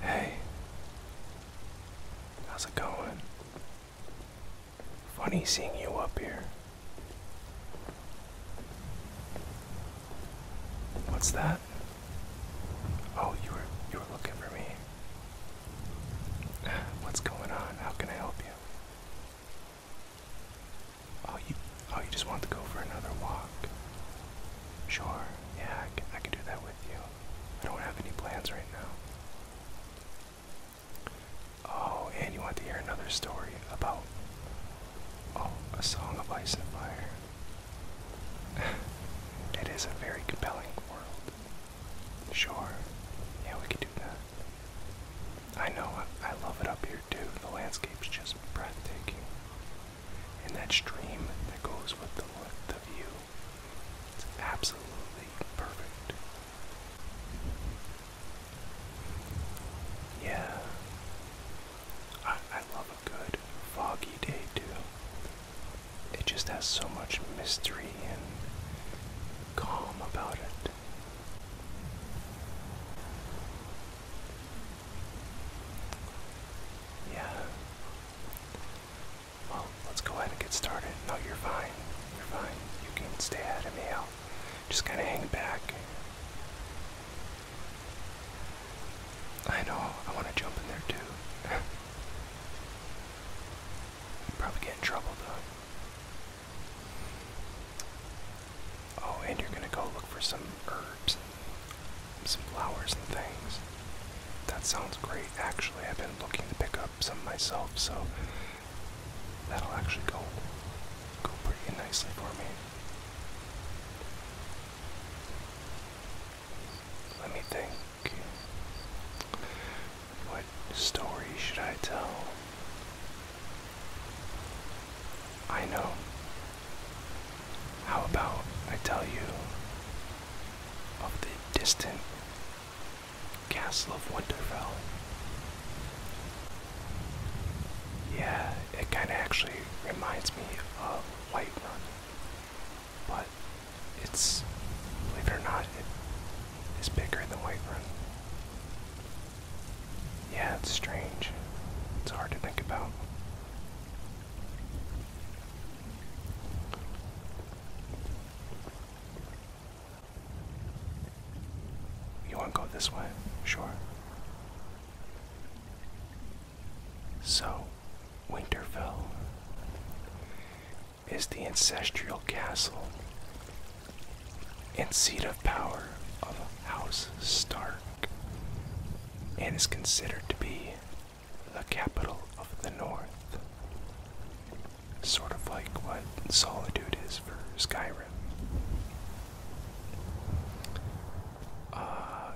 Hey, how's it going? Funny seeing you up here. What's that? Oh, you were you were looking for me. What's going on? How can I help you? Oh, you oh you just want to go for another walk? Sure, yeah, I can, I can do that with you. I don't have any plans right now. Oh, and you want to hear another story about oh, a song of ice and fire. it is a very compelling world. Sure. Yeah, we could do that. I know, I, love it up here too. The landscape's just breathtaking and that stream that goes with the, length of you It's absolutely perfect. Yeah. I love a good foggy day too. It just has so much mystery and calm about it. Yeah. Well, let's go ahead and get started. No, you're fine. You're fine. You can stay ahead of me. i just kind of hang back. I know. I want to jump in there too. Probably get in trouble though. Oh, and you're gonna go look for some herbs some flowers and things. That sounds great, actually. I've been looking to pick up some myself, so that'll actually go, go pretty nicely for me. Let me think. What story should I tell? I know. How about I tell you of the distant Castle of Winterfell? Yeah, it kind of actually reminds me of White Whiterun, but it's, believe it or not, it is bigger than White Whiterun. Yeah, it's strange. It's hard to think about. You want to go this way? Sure. So, Winterfell is the ancestral castle and seat of power of House Stark and is considered to be the capital of the north. Sort of like what Solitude is for Skyrim. Uh,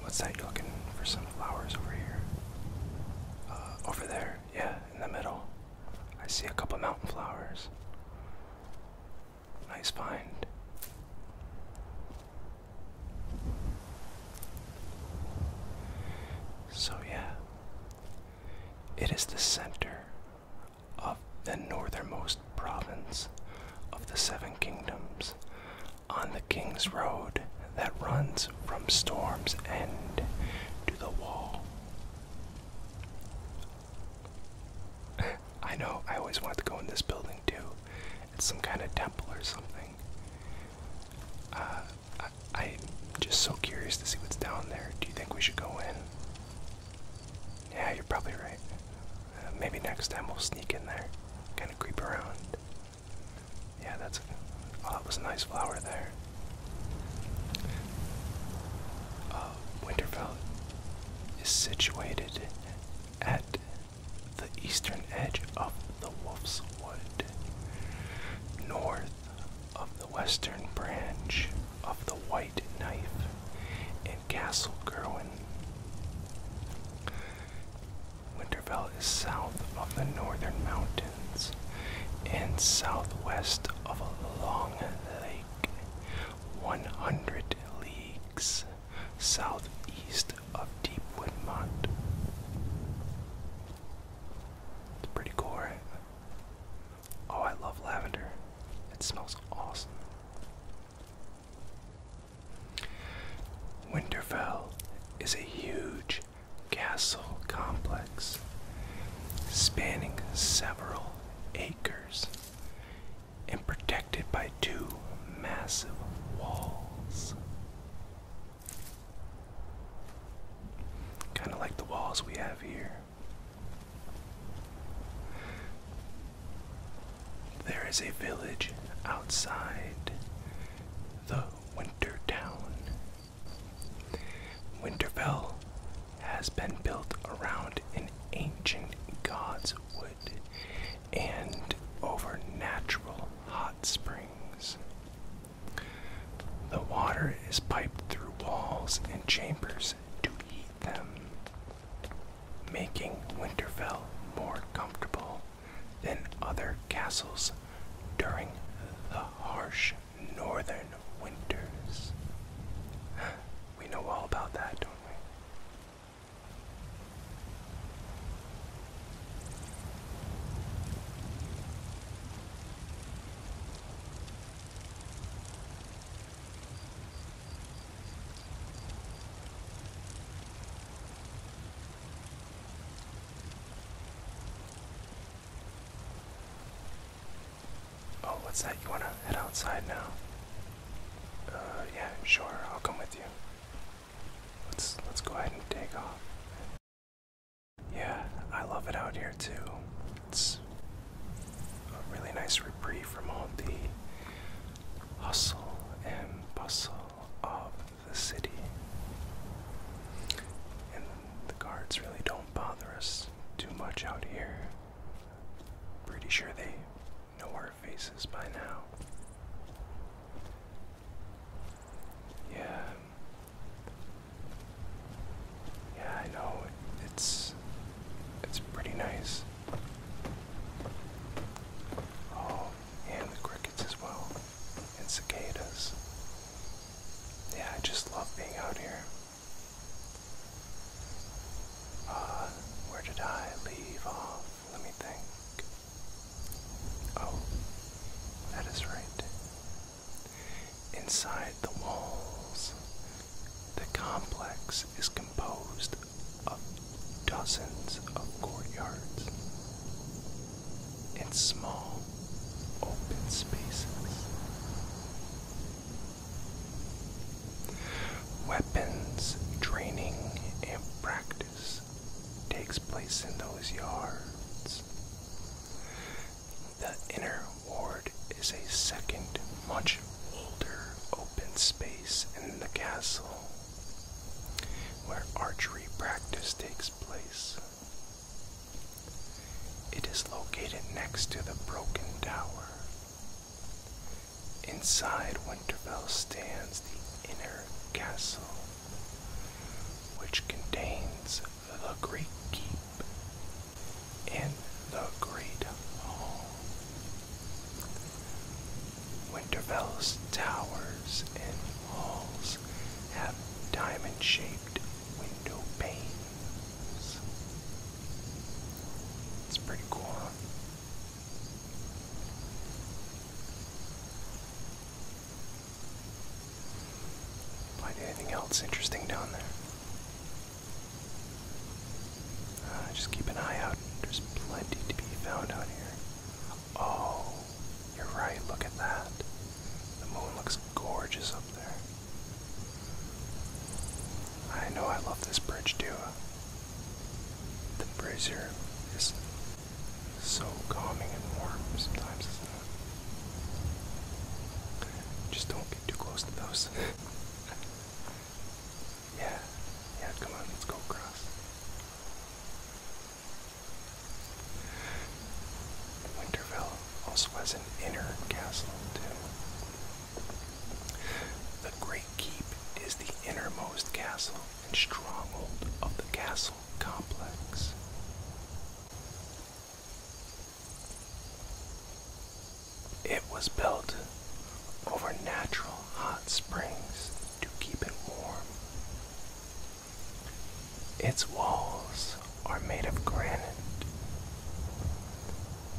what's that? You're looking for some flowers over here? Uh, over there, yeah, in the middle. I see a couple mountain flowers. Nice find. So, yeah, it is the center of the northernmost province of the Seven Kingdoms on the King's Road that runs from Storm's End to the Wall. I know, I always wanted to go in this building too. It's some kind of temple or something. Uh, I, am just so curious to see what's down there. Do you think we should go in? Yeah, you're probably right. Uh, maybe next time we'll sneak in there, kind of creep around. Yeah, that's. Oh, that was a nice flower there. Uh, Winterfell is situated at the eastern edge of the Wolf's Wood, north of the western branch of the White Knife and Castle Gerwin. Winterfell is south of the northern mountains and southwest of a long lake, 100 leagues southeast of Deepwood Mont. It's pretty cool, Oh, I love lavender. It smells awesome. Winterfell is a huge castle complex spanning several acres and protected by two massive walls. Kind of like the walls we have here. There is a village outside the winter town. Winterfell has been built around an ancient god's wood and over natural hot springs. The water is piped through walls and chambers to heat them, making Winterfell more comfortable than other castles during the harsh northern winters. We know all about that, don't we? Oh, what's that? You want to head outside now? Uh, yeah, sure, I'll come with you. Let's let's go ahead and take off. Yeah, I love it out here too. It's a really nice reprieve from all the hustle and bustle of the city. And the guards really don't bother us too much out here. Pretty sure they know our faces by now. Yeah. Yeah, I know. It's it's pretty nice. Oh, and the crickets as well. And cicadas. Yeah, I just love being out here. Uh, where did I leave off? Let me think. Oh, that is right. Inside the walls, the complex is composed of dozens of courtyards and small open spaces. Weapons training and practice takes place in those yards. The inner ward is a second, much older open space in the castle where archery practice takes place. It is located next to the broken tower Inside Winterfell stands the inner castle, which contains the Great Keep and the Great Hall. Winterfell's towers and halls have diamond shaped window panes. It's pretty cool, Find anything else interesting down there? Uh, just keep an eye out. There's plenty to be found out here. Oh, you're right. Look at that. The moon looks gorgeous up there. I know I love this bridge too. The brazier is so calming and warm sometimes, it's not Just don't get too close to those. yeah, yeah, come on, let's go across. Winterfell also has an inner castle, too. The Great Keep is the innermost castle and stronghold of the castle complex. It was built over natural hot springs to keep it warm. Its walls are made of granite.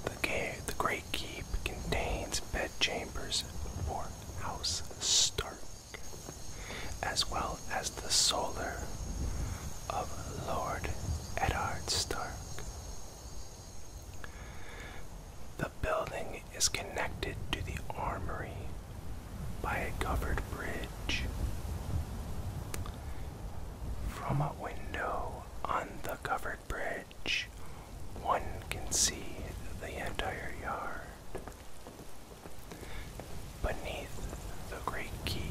The, the great they keep contains bedchambers for House Stark, as well as the solar of Lord Edard Stark. The building is connected to the armory by a covered bridge. From a window on the covered bridge, one can see the entire yard. Beneath the great keep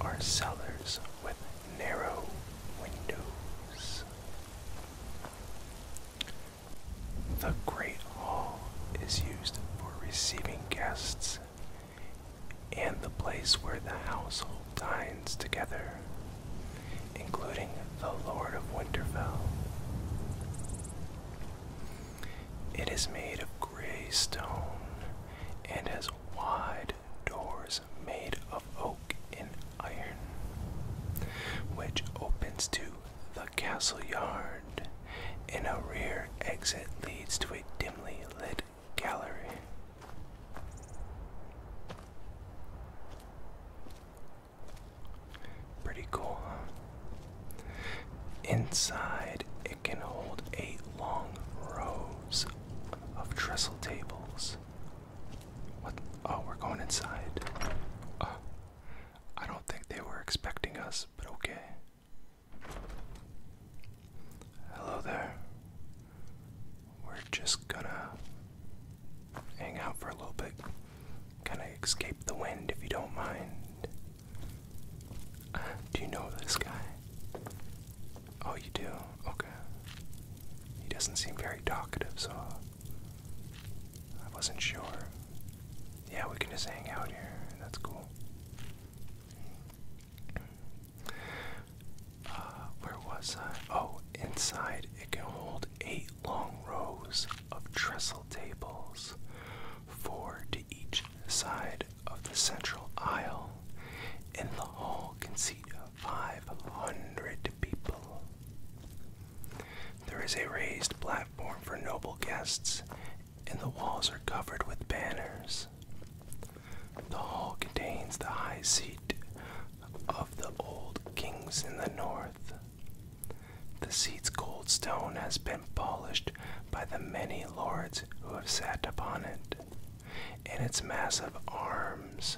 are cellars with narrow windows. The great hall is used for receiving guests and the place where the household dines together including the Lord of Winterfell. It is made of gray stone and has wide doors made of oak and iron, which opens to the castle yard, and a rear exit leads to a dimly lit gallery. Pretty cool, huh? Inside, it can hold eight long rows of trestle tables. What? Oh, we're going inside. Oh, I don't think they were expecting us, but okay. Hello there we're just gonna hang out for a little bit. Kind of escape the wind if you don't mind. Uh, do you know this guy? Oh, you do? Okay. He doesn't seem very talkative, so I wasn't sure. Yeah, we can just hang out here. That's cool. Uh, where was I? Oh, inside it can hold eight long rows of trestle tables, four to each side of the central aisle, and the hall can seat 500 people. There is a raised platform for noble guests, and the walls are covered with banners. The hall contains the high seat of the old kings in the north. The seat's gold stone has been polished by the many lords who have sat upon it, and its massive arms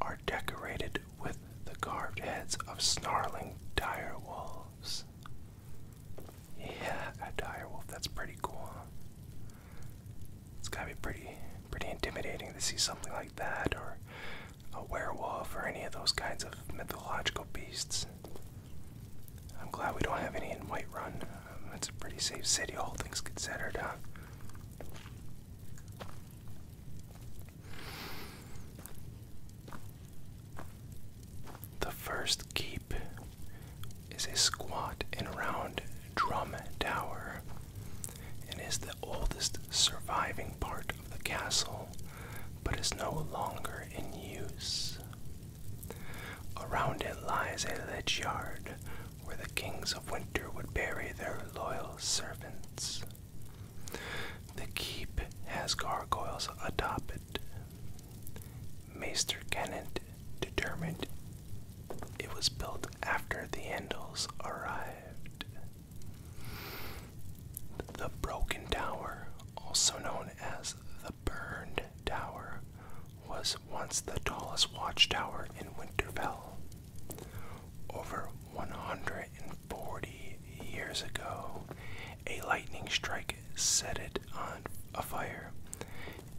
are decorated with the carved heads of snarling dire wolves. Yeah, a dire that's pretty cool. Huh? It's gotta be pretty pretty intimidating to see something like that or a werewolf or any of those kinds of mythological beasts. I'm glad we don't have any in Whiterun. Um, it's a pretty safe city, all things considered, The first keep is a squat and round drum tower and is the oldest surviving part of the castle, but is no longer in use. Around it lies a ledge yard where the kings of winter would bury their loyal servants. The keep has gargoyles atop it. Maester Kennett determined it was built after the Andals arrived. The Broken Tower, also known as the Burned Tower, was once the tallest watchtower in Winterfell. Over 140 years ago, a lightning strike set it on fire,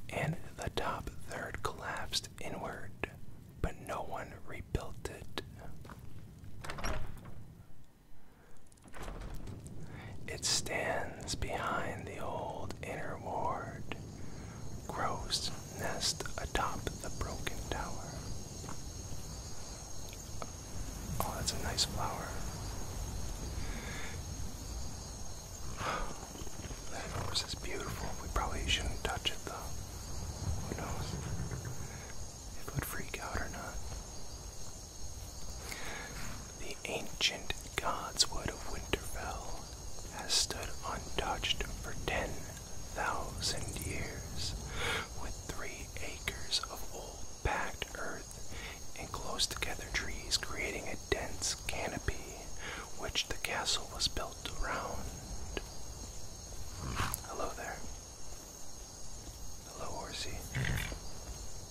and the top third collapsed inward, but no one rebuilt it. It stands behind the old inner ward, grows nest atop the broken tower. Oh, that's a nice flower. That horse is beautiful. We probably shouldn't touch it though. Who knows it would freak out or not? The ancient godswood of Winterfell has stood untouched for 10,000 years, with three acres of old packed earth and close together trees creating a dense canopy which the castle was built around. Hello there. Hello, Orsi.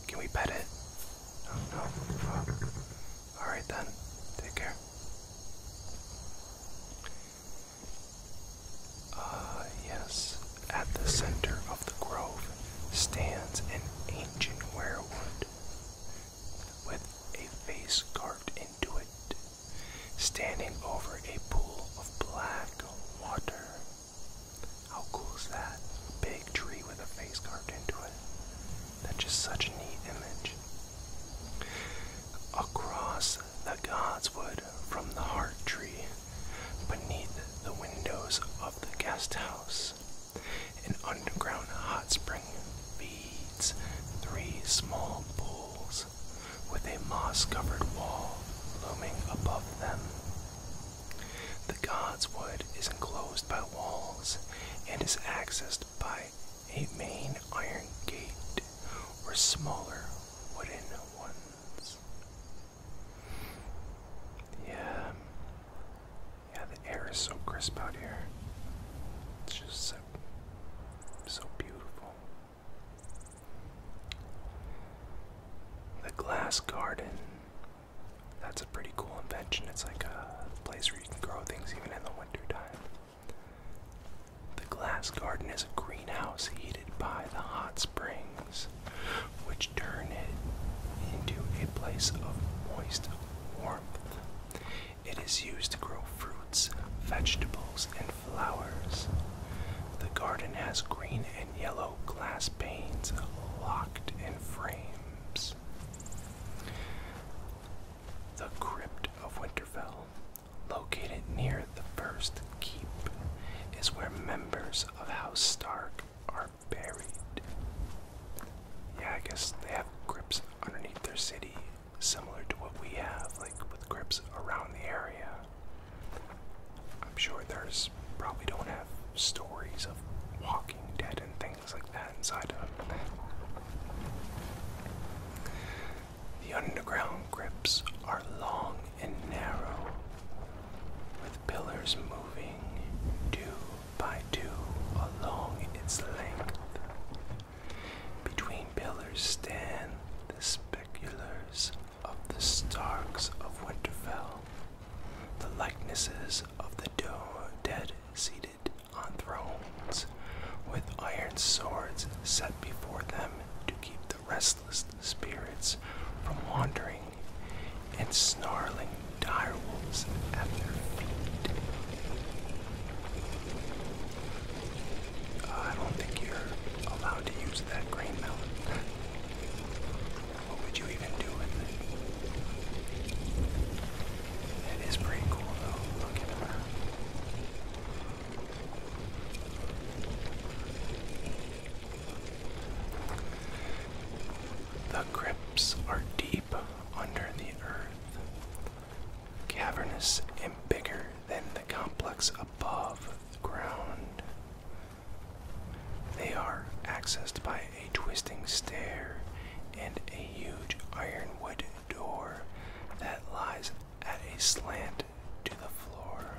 Can we pet it? Oh, no. Alright then. Take care. Ah, yes. At the center of the grove stands an ancient werewood with a face carved into it standing over a pool of black water. How cool is that? big tree with a face carved into it. That's just such a neat image. Across the godswood from the heart tree, beneath the windows of the guest an underground hot spring feeds three small pools with a moss covered wall looming above them. The god's wood is enclosed by walls and is accessed by a main iron gate or smaller wooden ones. Yeah. Yeah, the air is so crisp out here. It's just so, so beautiful. The glass garden. That's a pretty cool invention. It's like a place where you can grow things even in the wintertime. The glass garden is a greenhouse heated by the hot springs, which turn it into a place of moist warmth. It is used to grow fruits, vegetables, and flowers. The garden has green and yellow glass panes locked in frames. The Crypt of Winterfell, located near the first keep, is where members of House Stark are buried. Yeah, I guess they have crypts underneath their city similar to what we have, like with grips around the area. I'm sure there's probably don't have stories of walking dead and things like that inside of them. The underground grips are long and narrow, with pillars moving two by two along its length. Between pillars stand the speculators of the Starks of Winterfell, the likenesses of the dead seated on thrones, with iron swords set before them to keep the restless spirits from wandering, and snarling direwolves at their feet. I don't think you're allowed to use that green melon. what would you even do with it? It is pretty cool though, look at her. The grips are deep under the earth, cavernous and bigger than the complex above ground. They are accessed by a twisting stair and a huge ironwood door that lies at a slant to the floor.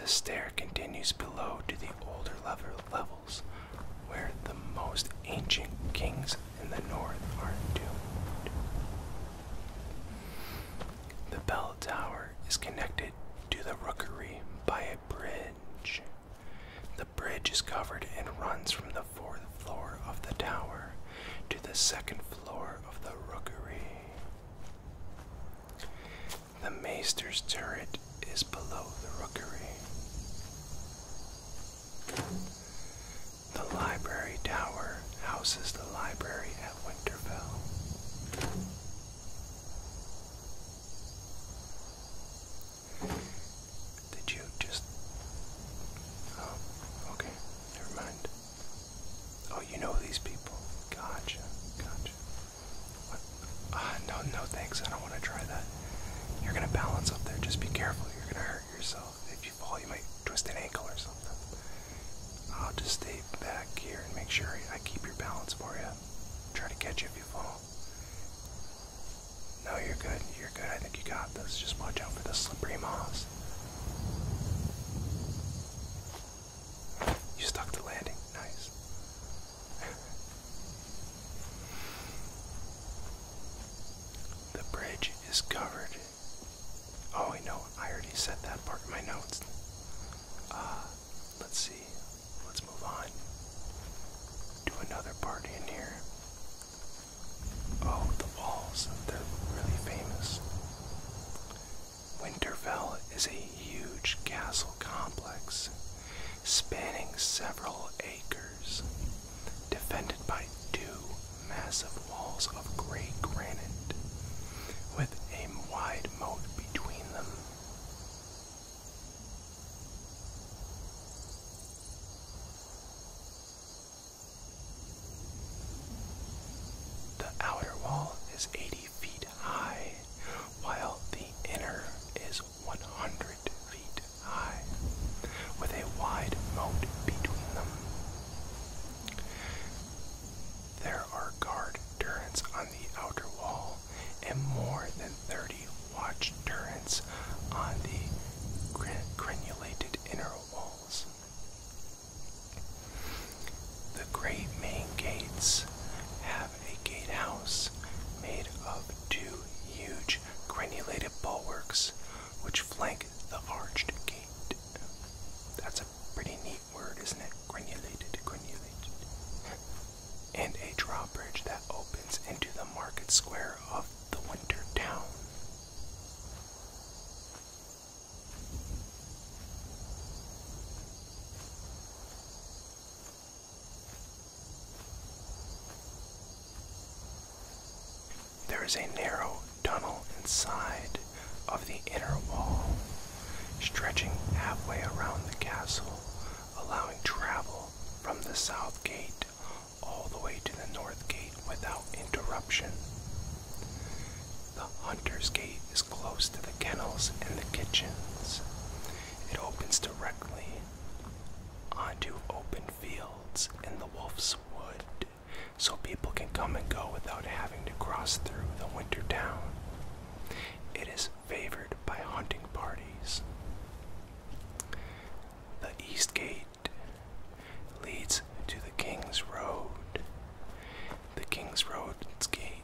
The stair continues below to the older level levels where the most ancient king's in the north are doomed. The bell tower is connected to the rookery by a bridge. The bridge is covered and runs from the fourth floor of the tower to the second floor of the rookery. The maester's turret is below the rookery. The library tower houses the library at Winterfell. Did you just. Oh, okay. Never mind. Oh, you know these people. Gotcha. Gotcha. Ah, no, no thanks. I don't want to try that. You're going to balance up there. Just be careful. You're going to hurt yourself if you fall, you might twist an ankle or something. I'll just stay back here and make sure I keep your balance for you. Try to catch you if you fall. No, you're good. You're good. I think you got this. Just watch out for the slippery moss. You stuck the landing. Nice. the bridge is covered Oh, I know. I already said that part in my notes. Uh, let's see. Let's move on. Do another party in here. Oh, the walls. They're really famous. Winterfell is a huge castle complex spanning several acres defended by two massive walls of gray granite, with a wide moat between them. The outer wall is 80 feet high, while the inner is 100 feet high, with a wide moat between them. There are guard turrets on the outer wall and more than 30 watch turrets on the gran granulated inner walls. The great main gates have a gatehouse made of two huge granulated bulwarks which flank the arched gate. That's a pretty neat word, isn't it? Granulated, granulated. And a drawbridge that opens into the market square of the winter town. There is a narrow tunnel inside of the inner wall, stretching halfway around the castle, allowing travel from the south gate all the way to the north gate without interruption. The hunter's gate is close to the kennels and the kitchens. It opens directly onto open fields and the wolf's wood so people can come and go without having to cross through the winter town. It is favored by hunting parties. The East Gate leads to the King's Road. The King's Road's Gate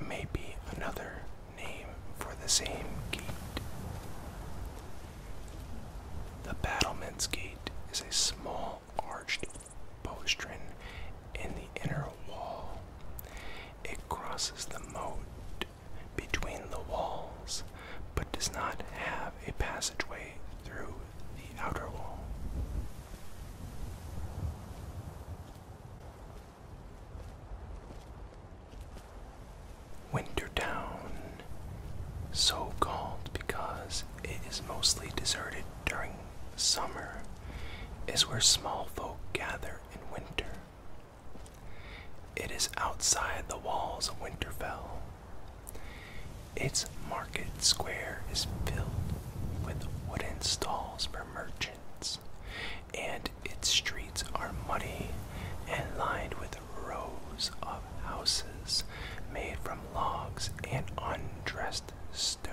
may be another name for the same gate. The battlement's gate is a small arched postern in the inner wall. It crosses the moat between the walls, but does not have a passageway through the outer wall. Wintertown, so called because it is mostly deserted during summer, is where small folk gather in winter. It is outside the walls of Winterfell. Its market square is filled with wooden stalls for merchants, and its streets are muddy and lined with rows of houses made from logs and undressed stone.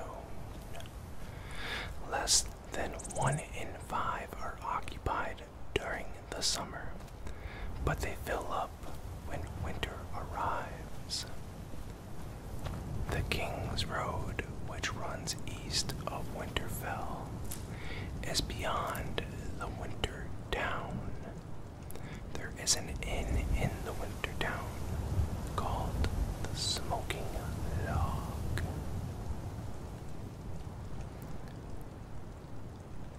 Less than one in five are occupied during the summer, but they fill up when winter arrives. The King's Road, which runs east of Winterfell, is beyond the Winter Town there is an inn in the winter town called the Smoking Log.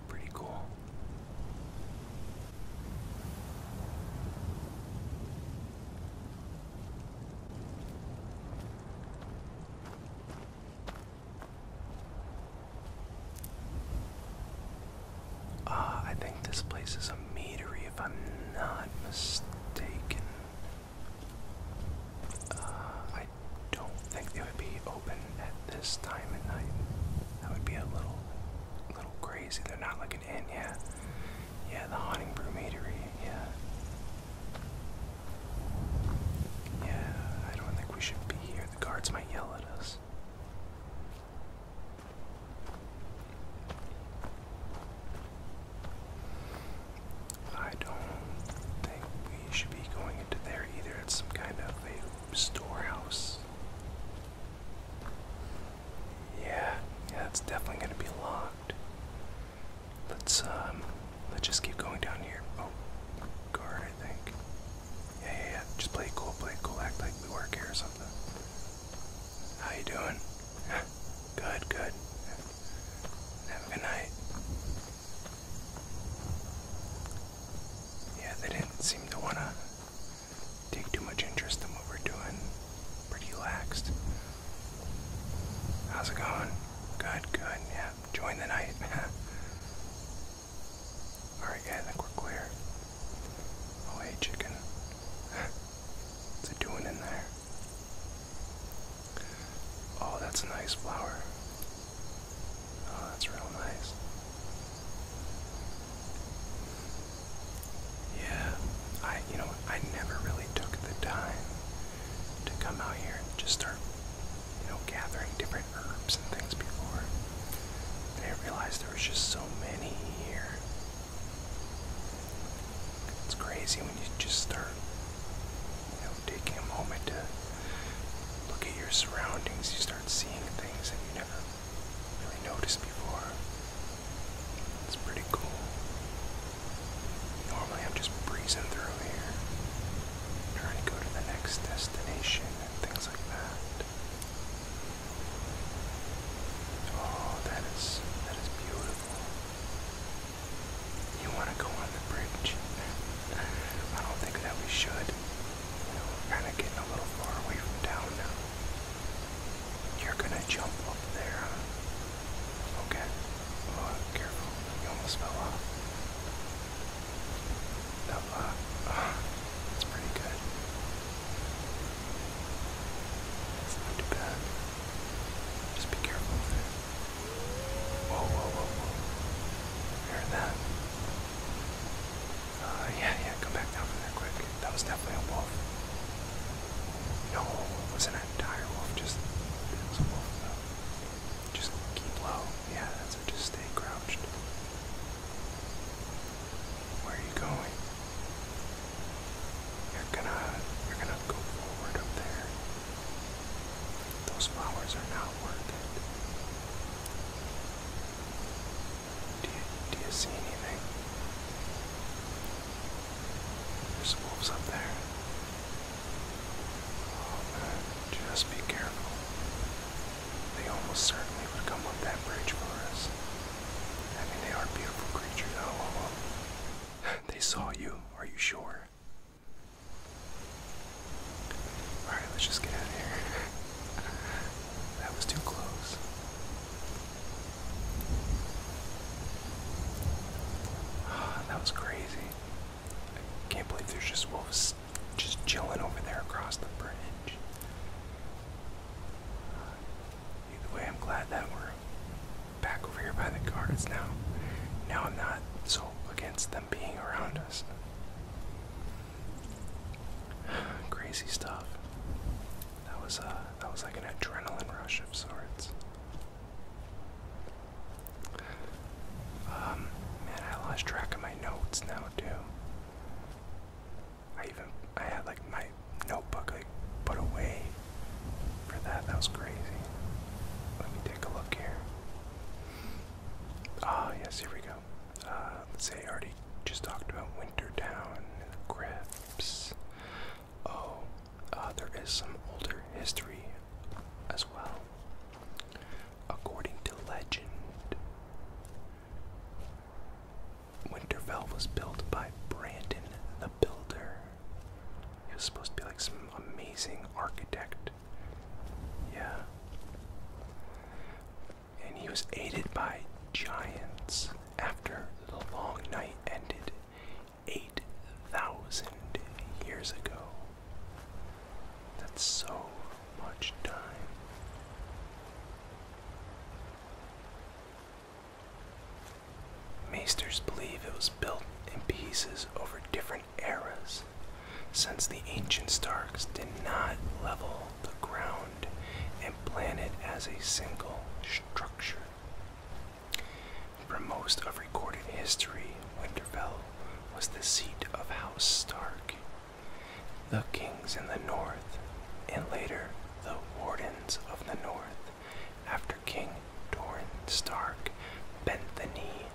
Pretty cool. Ah, I think this place is a meadery, if I'm not mistaken. Ah, I don't think they would be open at this time of night. That would be a little, little crazy. They're not looking in yet. yeah. the Haunting Brew Meadery, yeah. Yeah, I don't think we should be here. The guards might yell at us. I don't think we should be going into there either. It's some kind of a storehouse. Yeah, yeah, it's definitely gonna be locked. Let's um let's just keep going down here. Oh guard I think. Yeah, yeah, Just play cool, play cool. Act like we work here or something. How you doing? good, good. Have a good night. Yeah, they didn't seem to want to take too much interest in what we're doing. Pretty relaxed. How's it going? Good, good. Yeah, join the night. Alright guys, I think we're clear. Oh hey chicken. What's it doing in there? Oh, that's a nice flower. Oh, that's real nice. Yeah, I you know I never really took the time to come out here and just start you know gathering different herbs and things before. I didn't realize there was just so many here. It's crazy when you just start, you know, taking a moment to look at your surroundings. You start seeing things that you never really noticed before. It's pretty cool. Normally I'm just breezing through here trying to go to the next destination and things like that. Oh, that is that is beautiful. You want to go on the bridge? I don't think that we should. we're kind of getting a little far away from town now. You're gonna jump up there, Okay. Oh, careful. You almost fell off. That, uh, uh, pretty good. It's not bad. Just be careful Whoa, whoa, whoa, whoa. Heard that? Uh, yeah, yeah, come back down from there quick. That was definitely a wolf. No, it was an entire wolf, just, it was a wolf though. Just keep low. Yeah, just stay crouched. Where are you going? You're gonna you're gonna go forward up there. Those flowers are not worth it. Do you do you see anything? There's wolves up there. Oh, just be careful. They almost certainly would come up that bridge for us. I mean, they are beautiful creatures. Oh, they saw you. Are you sure? Alright, let's just get out of here. that was too close. that was crazy. I can't believe there's just wolves just chilling over there across the bridge. Either way, I'm glad that we're back over here by the guards now. Now I'm not so against them being around us. Crazy stuff. That was uh that was like an adrenaline rush of sorts. Um, man, I lost track of my notes now too. I even I had like my notebook like put away for that. That was crazy. Let me take a look here. Ah, yes, here we go. Uh, let's say I already just talked about Wintertown and the grips. Oh, uh, there is some older history as well. According to legend, Winterfell was built by Brandon the Builder. He was supposed to be like some amazing architect. Yeah. And he was aided by giants after the long night ended 8,000 years ago. That's so much time. Meisters believe it was built in pieces over different eras, since the ancient Starks did not level the ground and plan it as a single structure. For most of recorded history, Winterfell was the seat of House Stark. The kings in the north, and later the wardens of the north, after King Dorn Stark bent the knee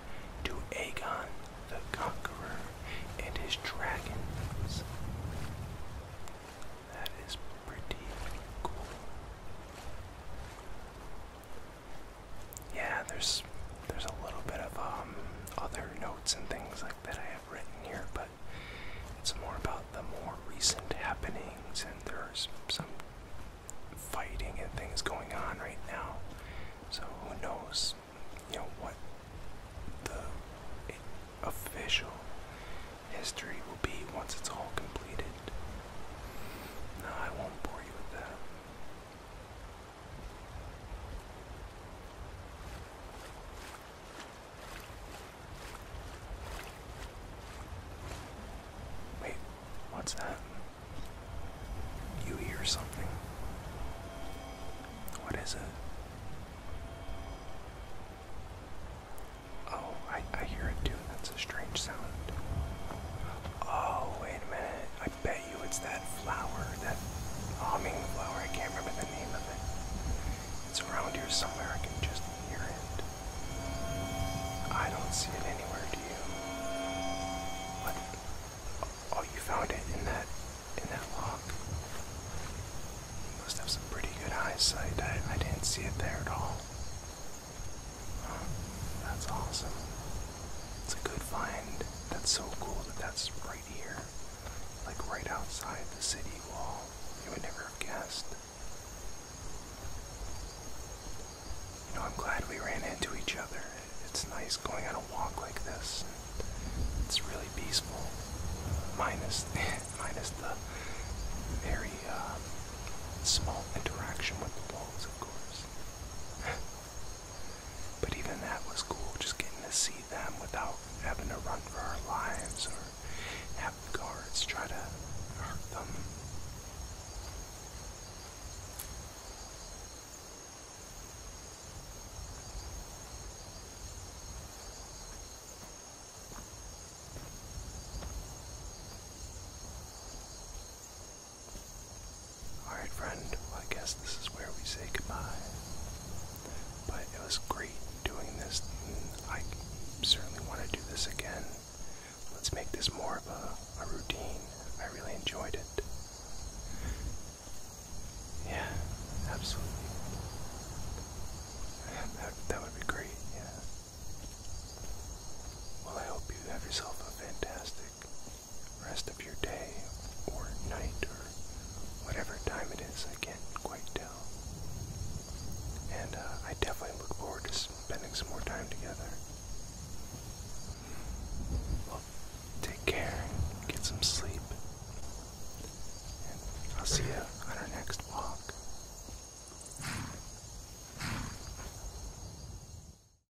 to Aegon the Conqueror and his dragons. That is pretty cool yeah, there's there's a little bit of um, other notes and things like that I have written here, but it's more about the more recent happenings, and there's some fighting and things going on right now. So who knows, you know what the official history will be once it's all completed. I won't bore you with that. Wait, what's that? You hear something. What is it? Oh, I, I hear it too. That's a strange sound. Oh, wait a minute. I bet you it's that flower, that hummingblower. I can't remember the name of it. It's around here somewhere. I can just hear it. I don't see it anywhere. Do you? Oh, you found it in that in that lock. You must have some pretty good eyesight. I, I didn't see it there at all. That's awesome. It's a good find. That's so cool that that's right here. Like right outside the city wall. You would never have guessed. You know, I'm glad we ran into each other. It's nice going on a walk like this. It's really peaceful. Minus, minus the very uh, small interaction with the wolves, of course. But even that was cool, just getting to see them without having to run for our lives or have the guards try to hurt them. Alright, friend, well, I guess this is where we say goodbye. But it was great doing this, I certainly want to do this again. Let's make this more of a, routine. I really enjoyed it. Yeah, absolutely. that would be great, yeah. Well, I hope you have yourself a fantastic rest of your day or night or whatever time it is. I can't quite tell. And uh, I definitely look forward to spending some more time together. Well, take care, get some sleep, and I'll see you on our next walk.